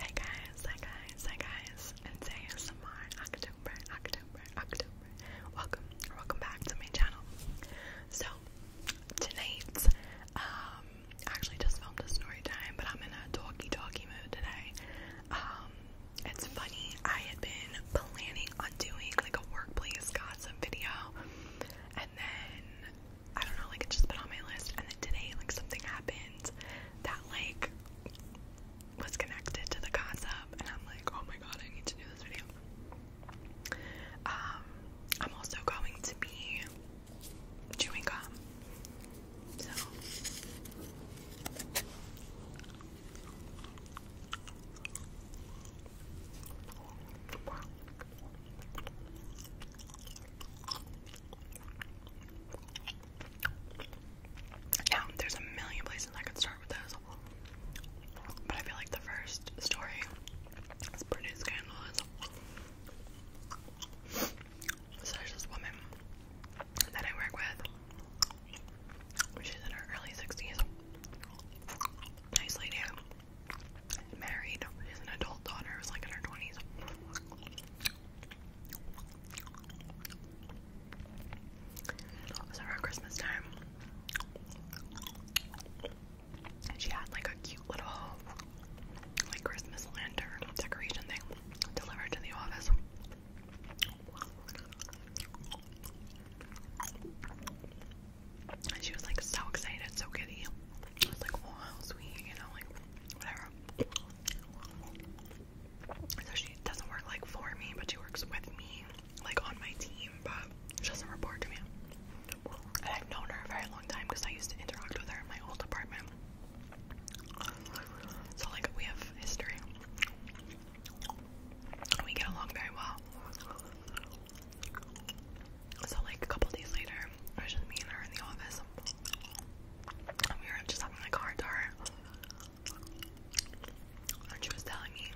Hey guys, hey guys, hey guys, and today is October, October, October. Welcome, welcome back to my channel. So, tonight, um, actually just filmed a story time, but I'm in a talky talky mood today. Um, it's funny, I had been planning on doing like a workplace gossip video, and then I don't know, like it just been on my list, and then today, like something happened that like was connected to the concept and I'm like, oh my god, I need to do this video. Um, I'm also going to be chewing gum. So now, there's a million places I could start with those, but I feel like the first story is pretty scandalous. So there's this woman that I work with. She's in her early 60s. Nice lady. Married. She an adult daughter who's like in her 20s was around Christmas time. she had like a cute little like Christmas lantern decoration thing delivered to the office. And she was like so excited, so giddy. I was like, wow, sweet, you know, like whatever. So she doesn't work like for me, but she works with me, like on my team, but she doesn't report to me. And I've known her a very long time because I used to interact with her in my old apartment. So like we have history. We get along very well. So like a couple days later, her. It was just me and her in the office. And we were just having like hard time. And she was telling me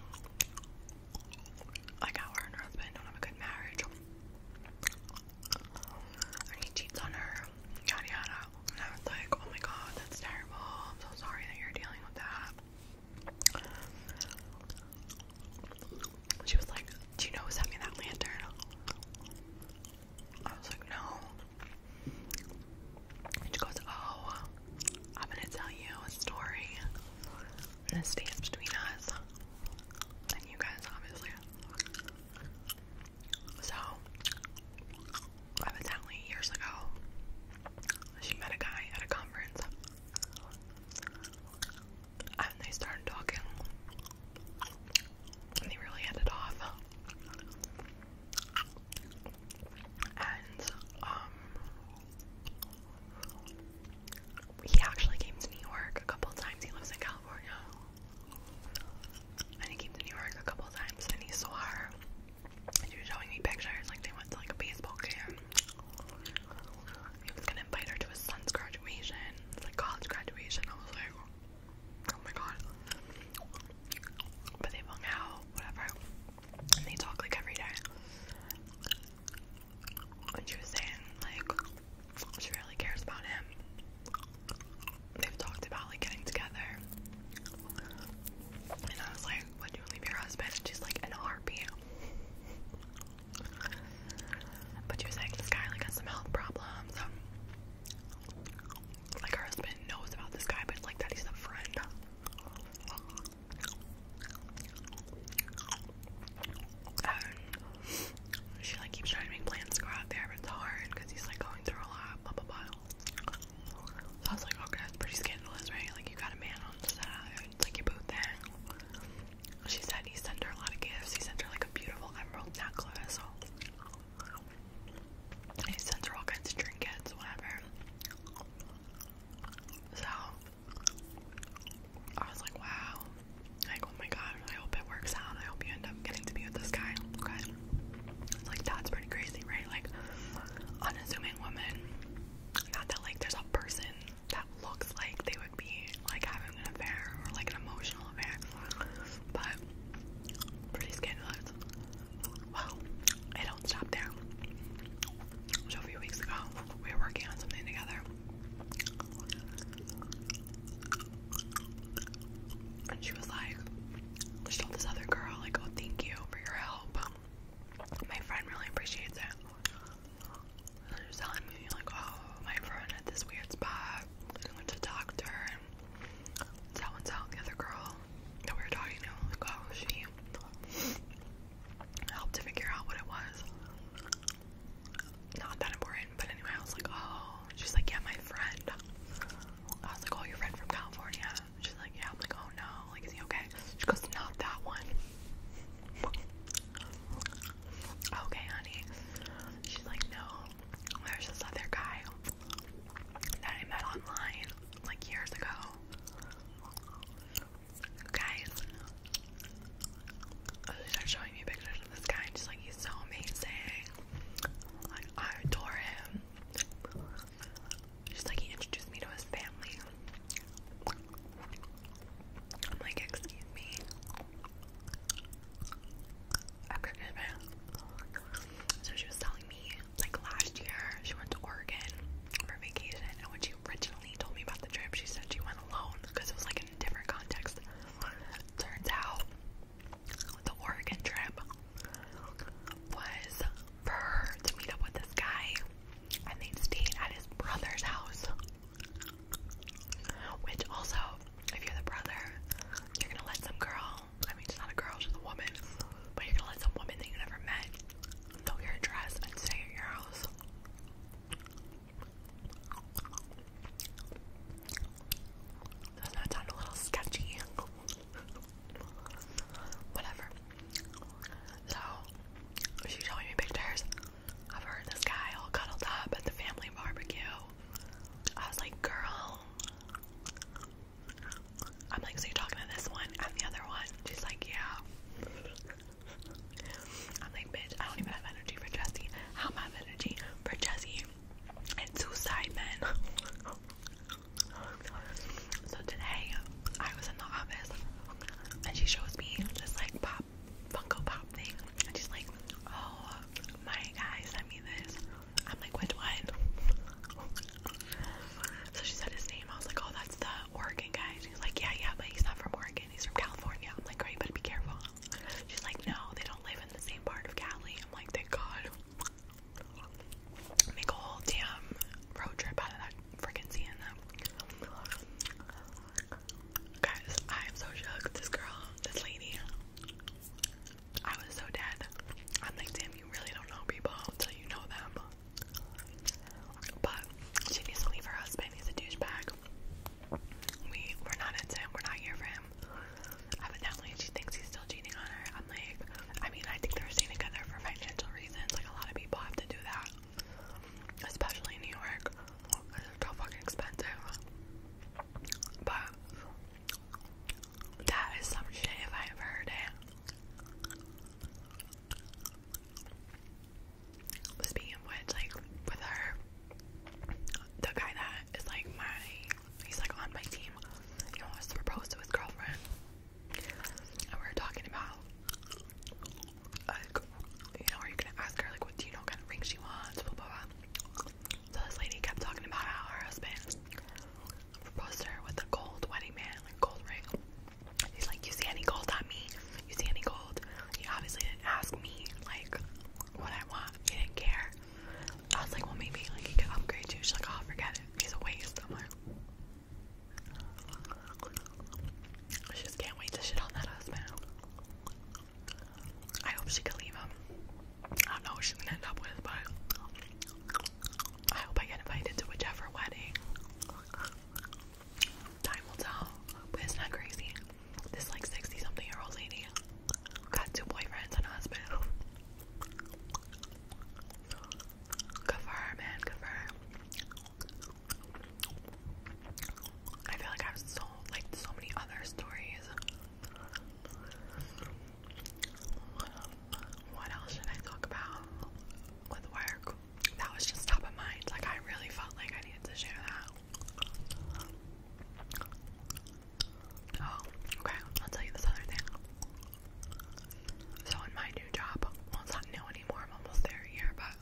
like how her husband don't have a good marriage. And he cheats on her, yada yada. And I was like, oh my god, that's terrible. I'm so sorry that you're dealing with that. She was like, do you know who's having that lantern? I was like, no. And she goes, oh, I'm gonna tell you a story that stays between us and you guys, obviously. So, evidently, years ago, she met a guy at a conference and they started talking, and they really ended off. And um, he actually came to New York a couple times. He lives in California, and he came to New York a couple times, and he saw her. And she was showing me pictures, like they went to like a baseball game he was gonna invite her to his son's graduation, like college graduation. I was like, oh my god. But they hung out, whatever, and they talk like every day. And she was saying, like, she really cares about him. They've talked about like getting together. And I was like, would you leave your husband? she's like, an a but you were saying this guy like has some health problems. Um, like her husband knows about this guy, but like that he's a friend. And she like keeps trying to make plans to go out there, but it's hard because he's like going through a lot. Blah blah blah. I was like, okay, that's pretty scandalous, right? Like you got a man on the like you both she said he sent her a lot of gifts. He sent her like a beautiful emerald necklace. He sends her all kinds of trinkets, whatever. So I was like, wow. Like, oh my god, I hope it works out. I hope you end up getting to be with this guy. Okay. It's like that's pretty crazy, right? Like unassuming woman. Not that like there's a person that looks like they would be like having an affair or like an emotional affair. But pretty scandalous. Well, I don't stop there. So a few weeks ago, we were working on something together. And she was like, There's told this other girl, like, oh thank you for your help. My friend really appreciates it. They're just telling me, like, oh, my friend had this weird spot. I went to the doctor, and so and so, the other girl that we were talking to, like, oh, she helped to figure out what it was. Not that important, but anyway, I was like, oh, she's like, yeah, my friend. I was like, oh, your friend from California. She's like, yeah. I'm like, oh no, like, is he okay? She goes, not that one okay, honey. She's like, no, there's this other guy that I met online like years ago. Guys, oh, they start showing me pictures of this guy, and she's like, he's so amazing. Like, I adore him. She's like, he introduced me to his family. I'm like, excuse me. So she was telling me, like last year, she went to Oregon for vacation, and when she originally told me about the trip, she said she went alone because it was like a different context. Turns out, the Oregon trip was for her to meet up with this guy, and they stayed at his brother's house. Which also, if you're the brother, you're gonna let some girl, I mean, she's not a girl, she's a woman, but you're gonna let some woman that you never met know your address and stay at your house. Doesn't that sound a little sketchy? Whatever. So, she showing me pictures I've heard this guy all cuddled up at the family barbecue. I was like, girl. I'm like, so you're talking to this one and the other one? She's like, yeah. I'm like, bitch, I don't even have energy for Jesse. How am I have energy for Jesse and two side men? so today, I was in the office and she shows me this like pop Funko Pop thing, and she's like, "Oh, my guy sent me this." I'm like, "Which one?" so she said his name. I was like, "Oh, that's the Oregon guy." He's like, "Yeah, yeah, but he's not from Oregon. He's from California." I'm like, "Great, but be careful." She's like, "No, they don't live in the same part of Cali." I'm like, "Thank God." Make a whole damn road trip out of that freaking seeing them. Guys, I am so shook. This girl, this lady, I was so dead. I'm like, damn, you really don't know people until you know them. But she needs to leave her husband. He's a douchebag. We we're not into him. We're not here for him. Evidently, she thinks he's still cheating on her. I'm like, I mean, I think they're staying together for financial reasons. Like a lot of people have to do that especially in New York. It's so fucking expensive. But that is some shit if I ever heard it. Speaking of which, like with her, the guy that is like my, he's like on my team. He almost proposed to his girlfriend, and we were talking about like, you know, are you gonna ask her, like, what do you know, kind of ring she wants, blah, blah, blah. So this lady kept talking about how her husband proposed to her with a gold wedding man, like, gold ring. He's like, you see any gold on me? You see any gold? He obviously didn't ask me, like, what I want. He didn't care. I was like, well, maybe, like, he could upgrade you. She's like, oh, forget it. He's a waste. I'm like, she just can't wait to shit on that husband. I hope she can leave him. I don't know what she's gonna end up with, but I hope I get invited to whichever wedding. Time will tell. But it's not crazy. This like 60 something year old lady got two boyfriends in a hospital. Good for her, man. Good for her. I feel like I have so like so many other stories. What else should I talk about with work? That was just top of mind. Like I really felt like I needed to share that. Oh, okay. I'll tell you this other thing. So in my new job, well it's not new anymore, I'm almost there a year, but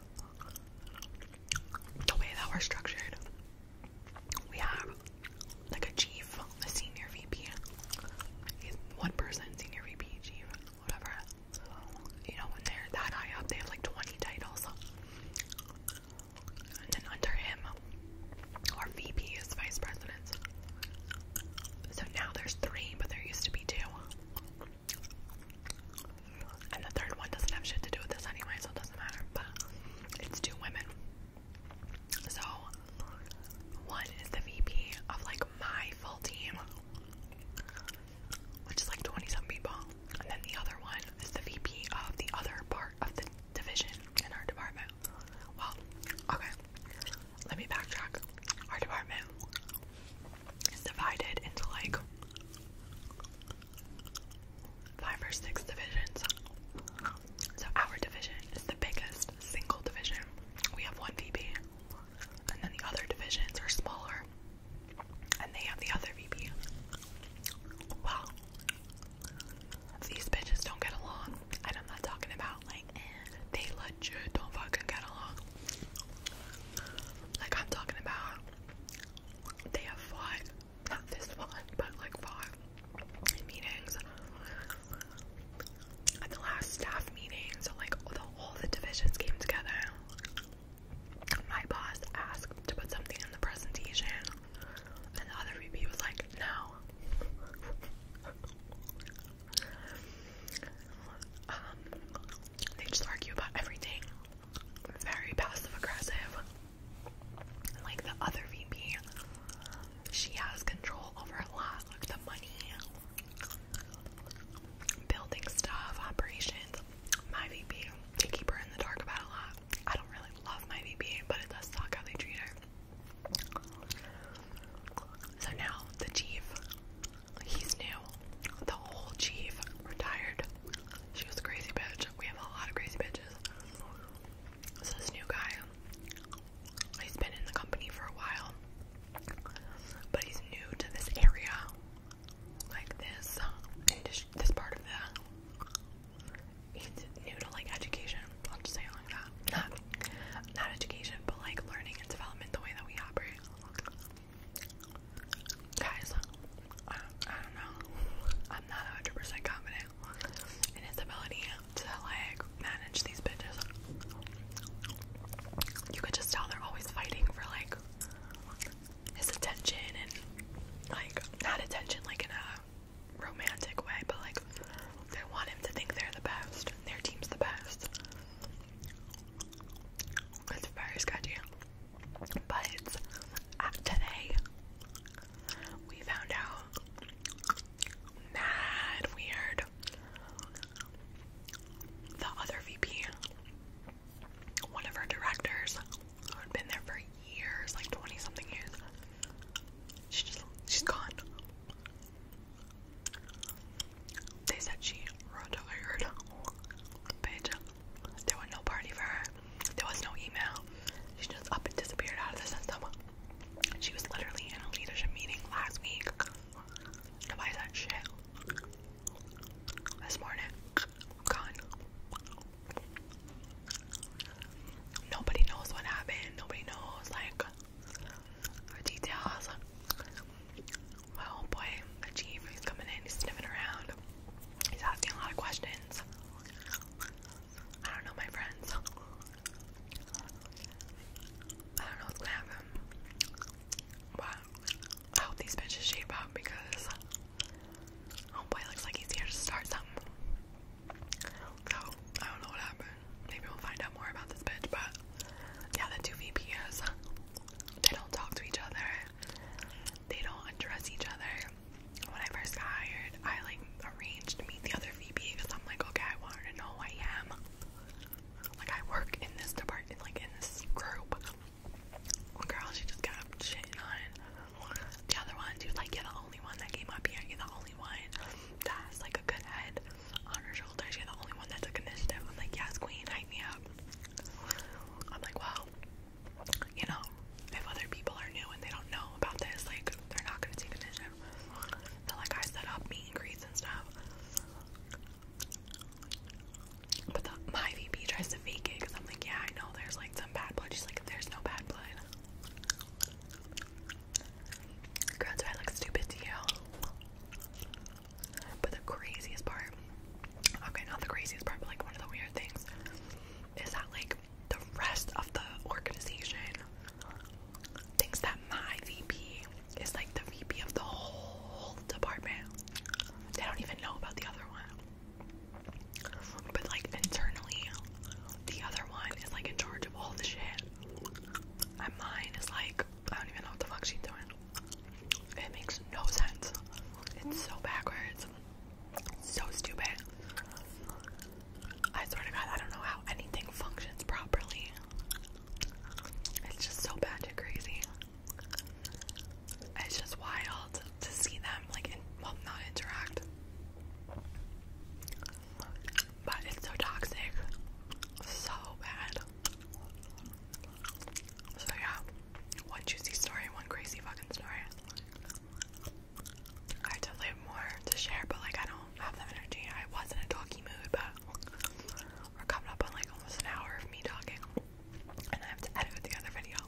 the way that we're structured, we have like a chief, a senior VP, he's one person, senior VP, chief, whatever. You know, when they're that high up, they have like 20 titles. And then under him our VP is vice president. So now there's three, but there used to be two. And the third one doesn't have shit to do with this anyway, so it doesn't matter. But it's two women. So one is the VP of like my full team, which is like 20 some people. And then the other one is the VP of the other part of the division in our department. Well, okay let me backtrack. Our department is divided into like five or six divisions. So our division is the biggest single division. We have one VP, and then the other divisions are smaller, and they have the other VP. Wow, these bitches don't get along and I'm not talking about like they legit don't fucking get along. Like I'm talking about they have fought, not this one, but like fought in meetings. At the last staff meeting, so like all the, all the divisions came together. My boss asked to put something in the presentation, and the other VP was like, "No." Um, they just argue about everything. Very passive aggressive. Like the other VP, she has control over a lot, like the money, building stuff, operations. My VP, they keep her in the dark about a lot. I don't really love my VP, but it does suck how they treat her. So now the chief, he's new. The whole chief retired. She was a crazy bitch. We have a lot of crazy bitches. So this new guy, he's been in the company for a while, but he's new to this area, like this, uh, this part of the. He's new to like education. I'll just say it like that not not education, but like learning and development the way that we operate. Guys, I don't, I don't know. I'm not 100 percent confident in his ability to like manage these bitches. You could just tell they're always fighting for like his attention and like not attention like in a romantic way, but like they want him to think they're the best. Their team's the best. It's very sketchy. But uh, today, we found out mad weird. The other VP, one of our directors, who had been there for years, like 20 something years, she just, she's gone. They said she retired page. There was no party for her. There was no email. She just up and disappeared out of the system. She was literally in a leadership meeting last week. Nobody said shit. This morning, gone. Nobody knows what happened. Nobody knows, like, the details. My whole boy, Achieve, he's coming in, he's sniffing around. He's asking a lot of questions. I don't know my friends. I don't know what's gonna happen. But I hope these bitches shape up because oh boy looks like he's here to start something. So I don't know what happened. Maybe we'll find out more about this bitch, but yeah, the two VPs they don't talk to each other. They don't address each other. When I first got hired, I like arranged to meet the other VP because I'm like, okay, I want her to know who I am. Like I work in this department, like in this group. Girl, she just got shitting on. The other one, Do you like, get only one that came up here. You're the only one that has like a good head on her shoulders. You're the only one that took initiative. I'm like, yes, queen, hype me up. I'm like, well, you know, if other people are new and they don't know about this, like, they're not gonna take initiative. So, like, I set up meet and greets and stuff. But the, my VP tries to fake it because I'm like, yeah, I know there's like some bad blood. She's like, there's no bad blood. Girl, do I look stupid to you? But the craziest part, okay, not the craziest part, but like one of the weird things is that like the rest of the organization thinks that my VP is like the VP of the whole department. They don't even know about the other one. But like internally, the other one is like in charge of all the shit. And mine is like, I don't even know what the fuck she's doing. It makes no sense. It's so backwards. So stupid. I swear to God, I don't know how anything functions properly. It's just so bad and crazy. It's just wild to see them like, well, not interact but it's so toxic, so bad. So yeah, one juicy story, one crazy fucking story. I had to more to share, but like I don't have the energy. I was in a talky mood, but we're coming up on like almost an hour of me talking, and I have to edit the other video.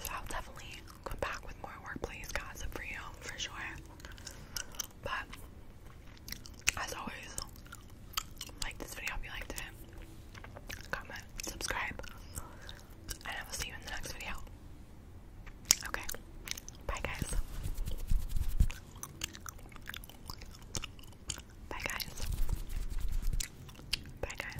So I'll definitely come back with more workplace gossip for you for sure. But as always, like this video if you liked it, comment, subscribe, and I will see you in the next video. Okay, bye guys. Bye guys. Bye guys.